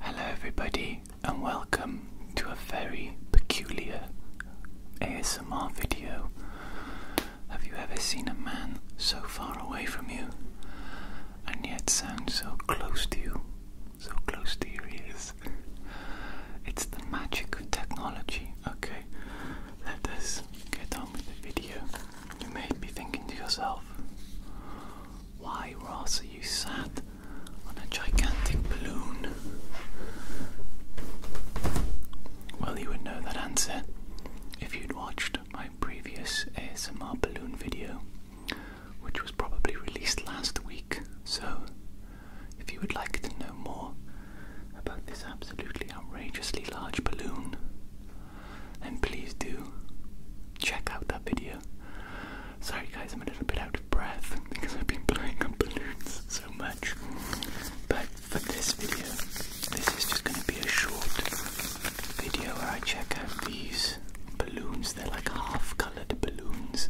Hello, everybody, and welcome to a very peculiar ASMR video. Have you ever seen a man so far away from you and yet sound so close to you, so close to your ears? It's the magic of technology. Okay, let us get on with the video. You may be thinking to yourself, why, Ross, are you sat on a gigantic balloon? Well, you would know that answer if you'd watched my previous ASMR balloon video, which was probably released last week. So, if you would like to know more about this absolutely outrageously large balloon, and please do check out that video. Sorry guys, I'm a little bit out of breath because I've been blowing up balloons so much. But for this video, this is just going to be a short video where I check out these balloons. They're like half-coloured balloons.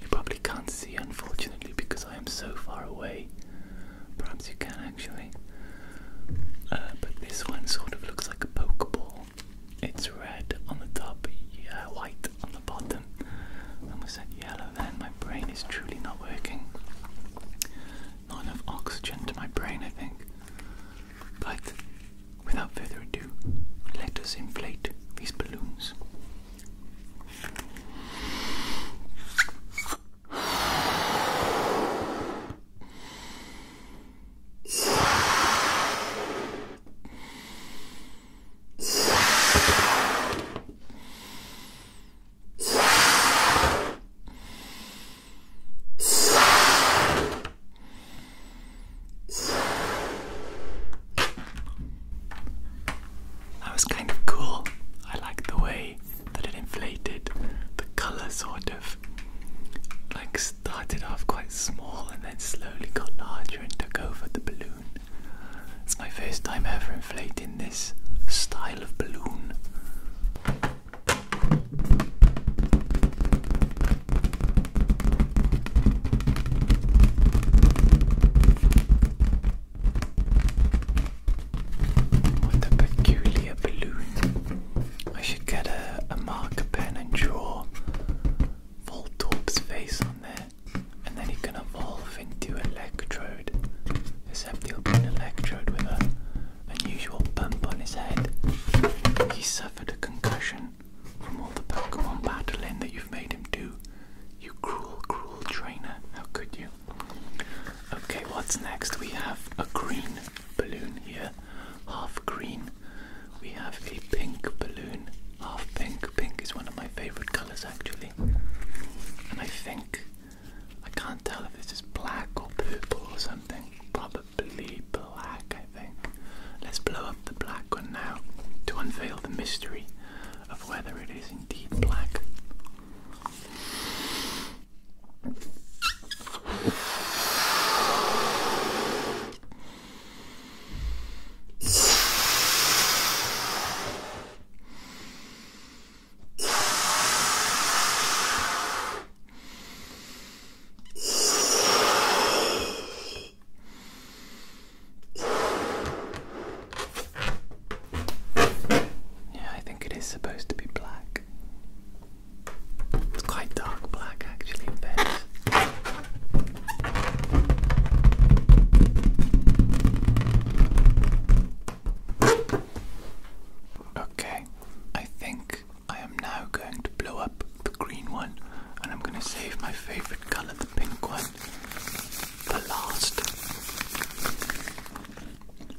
You probably can't see, unfortunately, because I am so far away. Perhaps you can actually. Uh, but this one sort of looks like a pokeball. It's red on the top, yeah, white on the bottom. And we said yellow then. My brain is truly not working. Not enough oxygen to my brain, I think. But without further ado, let us inflate these balloons. That was kind of cool. I like the way that it inflated the colors sort like started off quite small and then slowly got larger and took over the balloon. It's my first time ever inflating this style of balloon. What a peculiar balloon. I should get a, marker pen and draw Voltorbe's face on there, and then he can evolve into Electrode. Except he'll be an Electrode with an unusual bump on his head. He suffered a concussion from all the Pokemon battling that you've made him do. You cruel, cruel trainer. How could you? Okay, what's next? We have a green balloon here, half green. We have a pink balloon, half pink. Pink is one of my favorite colors actually. And I think, I can't tell if this is black or purple or something. Probably black, I think. Let's blow up the black one now to unveil the mystery of whether it is indeed black yeah, I think it is supposed to be black. It's quite dark black actually Okay, I think I am now going to blow up the green one and I'm going to save my favorite color, the pink one, for last.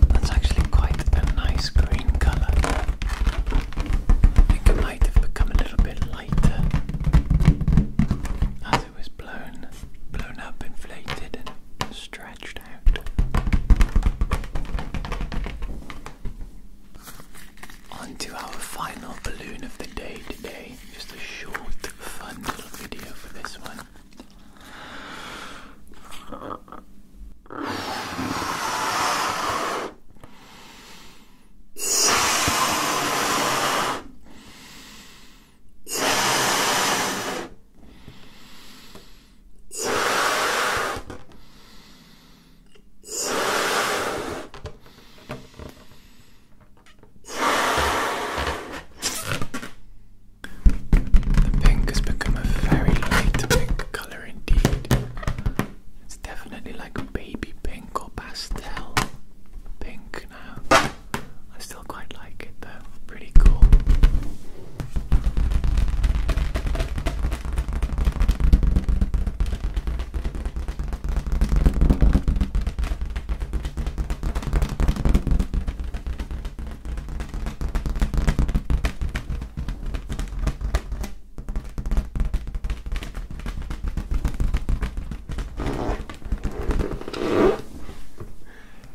That's actually quite a nice green colour. it might have become a little bit lighter as it was blown, blown up, inflated, and stretched out on to our final balloon of the day today. Just a short, fun little video for this one pink has become a very light pink colour indeed. It's definitely like baby pink or pastel pink now. I still quite like it though, pretty cool.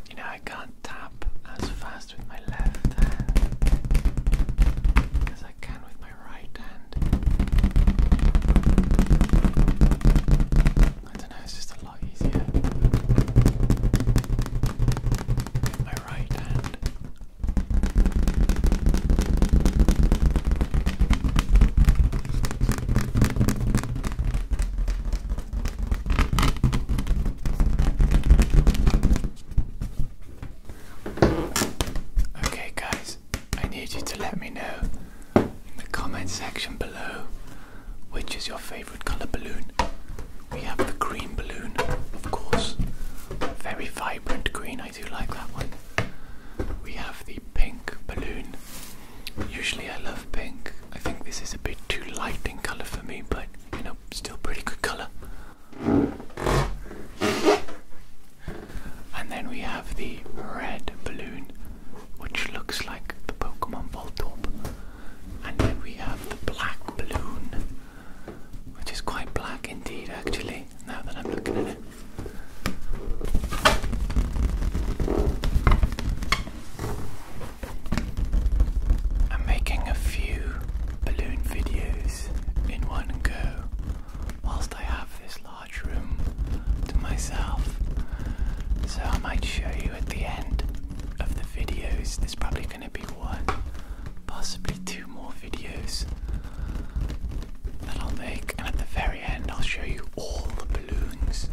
You know, I can't tap as fast fast with my left hand as I can with my right hand. I don't know, it's just a lot easier with my right hand. Okay, guys, I need you to let me know in the comment section below which is your favorite color balloon. We have the green balloon, of course, very vibrant green. I do like that one. We have the pink balloon. Usually, I love pink. I think this is a bit too light in color for me, but you know Still pretty good color. And then we have the red balloon, which looks like the Pokemon Voltorb. And then we have the black balloon, which is quite black indeed, actually, now that I'm looking at it. I'm making a few balloon videos in one go whilst I have this large room to myself. So I might show you at the end of the videos. There's probably going to be one, possibly two more videos that I'll make, and at the very end, I'll show you all the balloons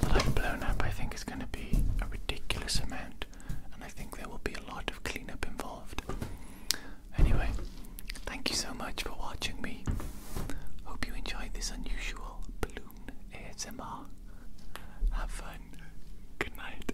that I've blown up. I think it's going to be a ridiculous amount and I think there will be a lot of cleanup involved. Anyway, thank you so much for watching me. Hope you enjoyed this unusual balloon ASMR. Have fun. Good night.